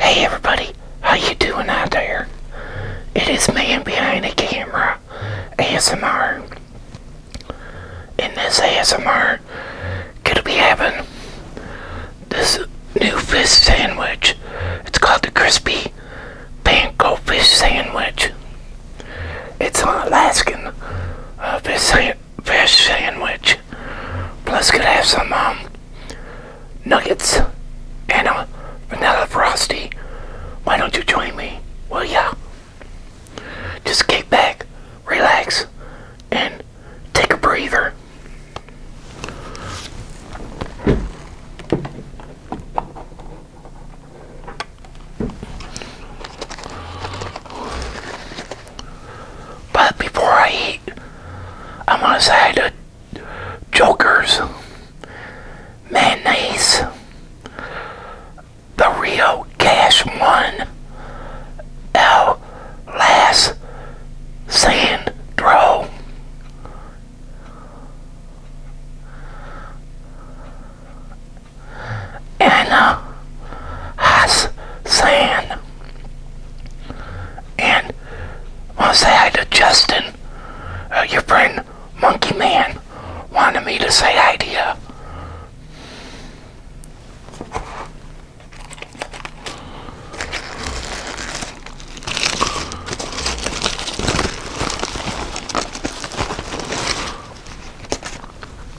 Hey everybody, how you doing out there? It is man behind the camera, ASMR. In this ASMR, gonna be having this new fish sandwich. It's called the crispy panko fish sandwich. It's an Alaskan uh, fish, sa fish sandwich sandwich. Plus could have some um, nuggets and a vanilla frosty. Why don't you join me? Well, yeah. Just kick back, relax, and take a breather. But before I eat, I'm going to say the Jokers, Mayonnaise, the Rio Cash One, El Las Sandro. Anna uh, Hassan. And I want to say hi to Justin, your friend Monkey Man, wanted me to say hi to you.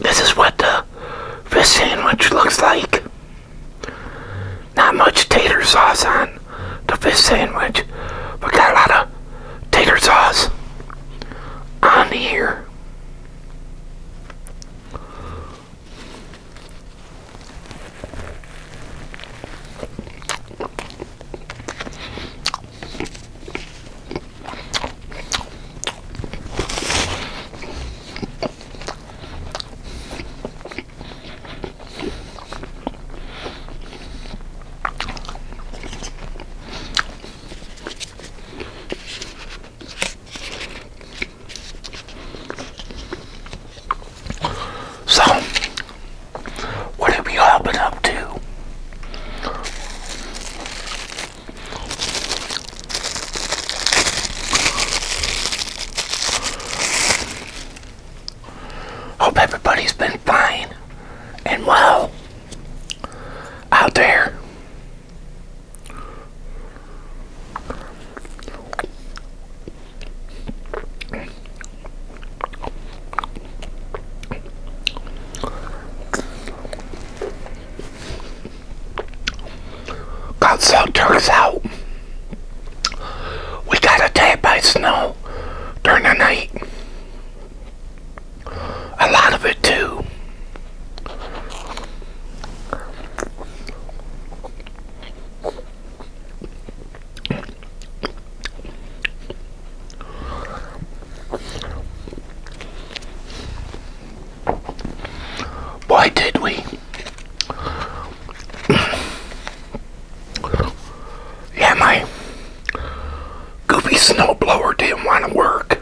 This is what the fish sandwich looks like. Not much tater sauce on the fish sandwich, but got a lot of tater sauce on here. So, what have we all been up to? Hope everybody's been fine and well out there. Got some turns out. We got attacked by snow during the night. A lot of it too. Why did we? Yeah, my goofy snowblower didn't want to work.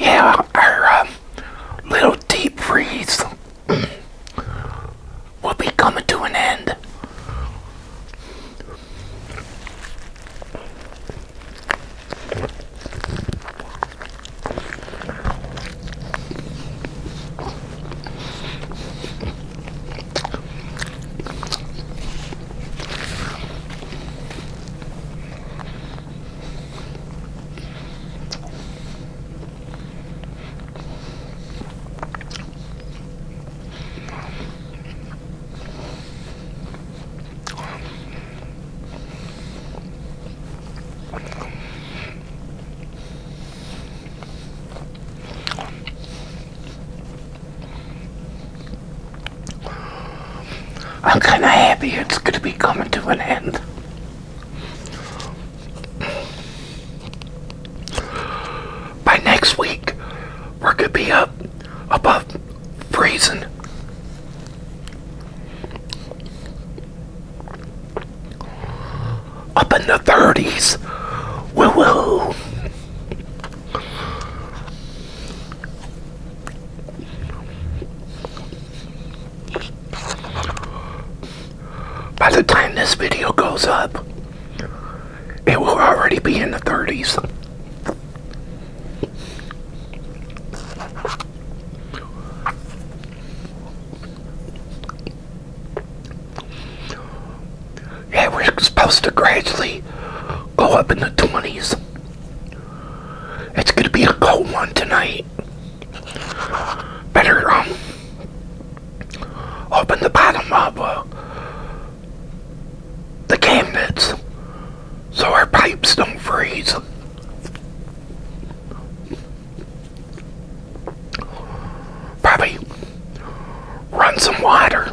yeah, our um, little deep freeze will be coming to an end. I'm kind of happy it's going to be coming to an end. By next week, we're going to be up above freezing. Up in the 30s. Woo woo. By the time this video goes up, it will already be in the 30s. Yeah, we're supposed to gradually go up in the 20s. It's going to be a cold one tonight better um, open the bottom of uh, the cabinets so our pipes don't freeze. Probably run some water.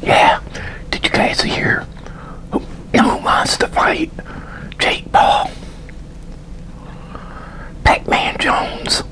Yeah, did you guys hear who, who wants to fight Jake Paul? Pac-Man Jones.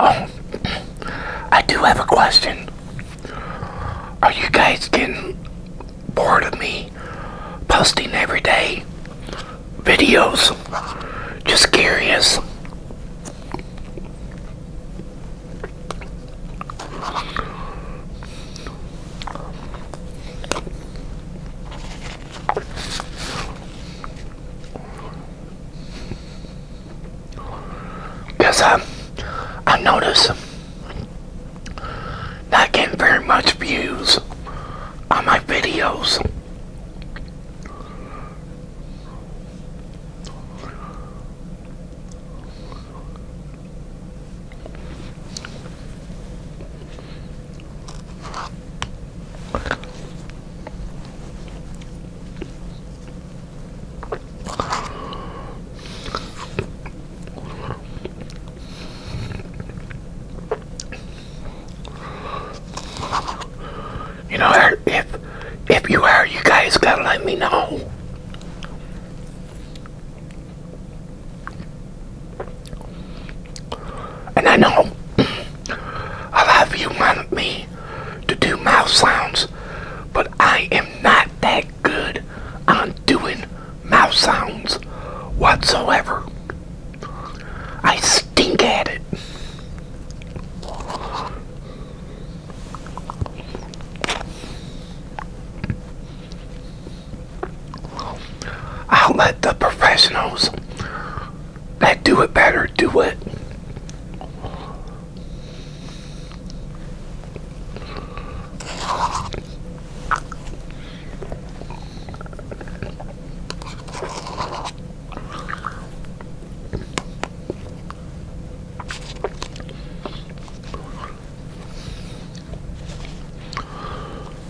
Oh, I do have a question. Are you guys getting bored of me posting every day videos? Just curious. Because um, I noticed not getting very much views on my videos. You know, if if you are, you guys gotta let me know. And I know a lot you want me to do mouth sounds, but I am not that really good on doing mouth sounds whatsoever. I stink at it. I'll let the professionals that do it better do it.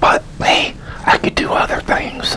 But hey, I could do other things.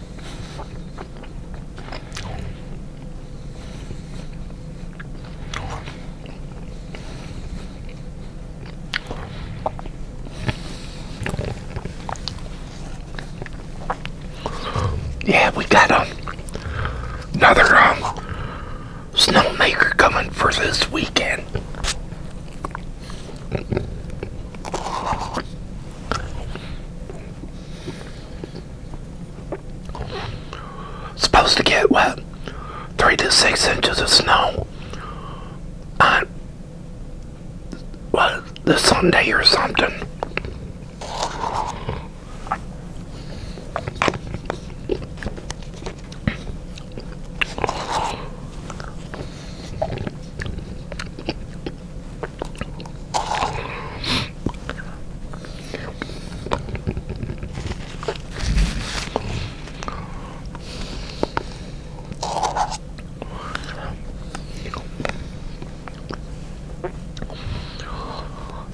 Yeah, we got um, another um, snowmaker coming for this weekend. Supposed to get wet. Three to six inches of snow on well, the Sunday or something.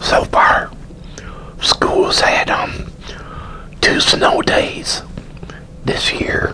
So far, school's had um two snow days this year.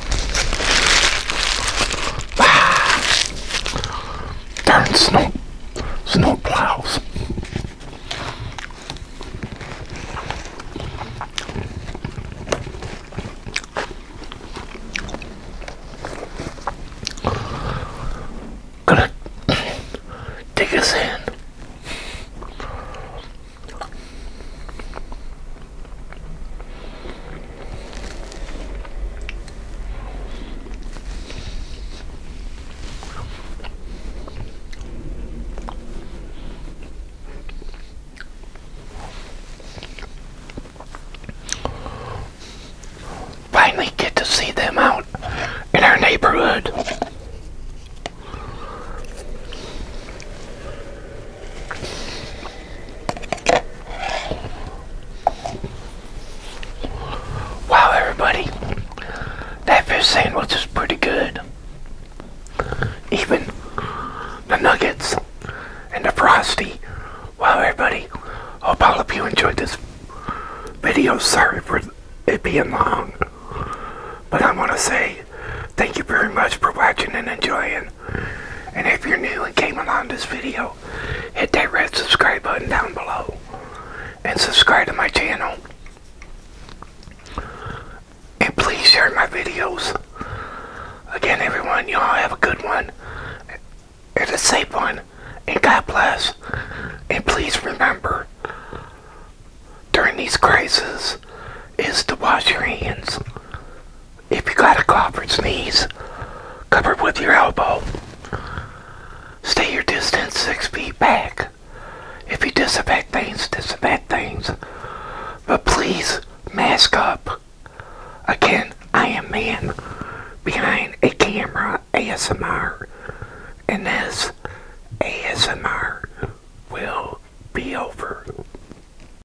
Don't snow, snow plows. Gonna take us in. Finally get to see them out in our neighborhood. Wow, everybody. That fish sandwich is pretty good. Even the nuggets and the frosty. Wow, everybody. Hope all of you enjoyed this video. Sorry for it being long. But I want to say Thank you very much for watching and enjoying. And if you're new and came along this video, hit that red subscribe button down below. And subscribe to my channel. And please share my videos. Again, everyone, y'all have a good one. And a safe one. And God bless. And please remember, during these crises, is to wash your hands if you got a cough or sneeze, cover it with your elbow. Stay your distance six feet back. If you disinfect things, disinfect things. But please, mask up. Again, I am man behind a camera ASMR. And this ASMR will be over.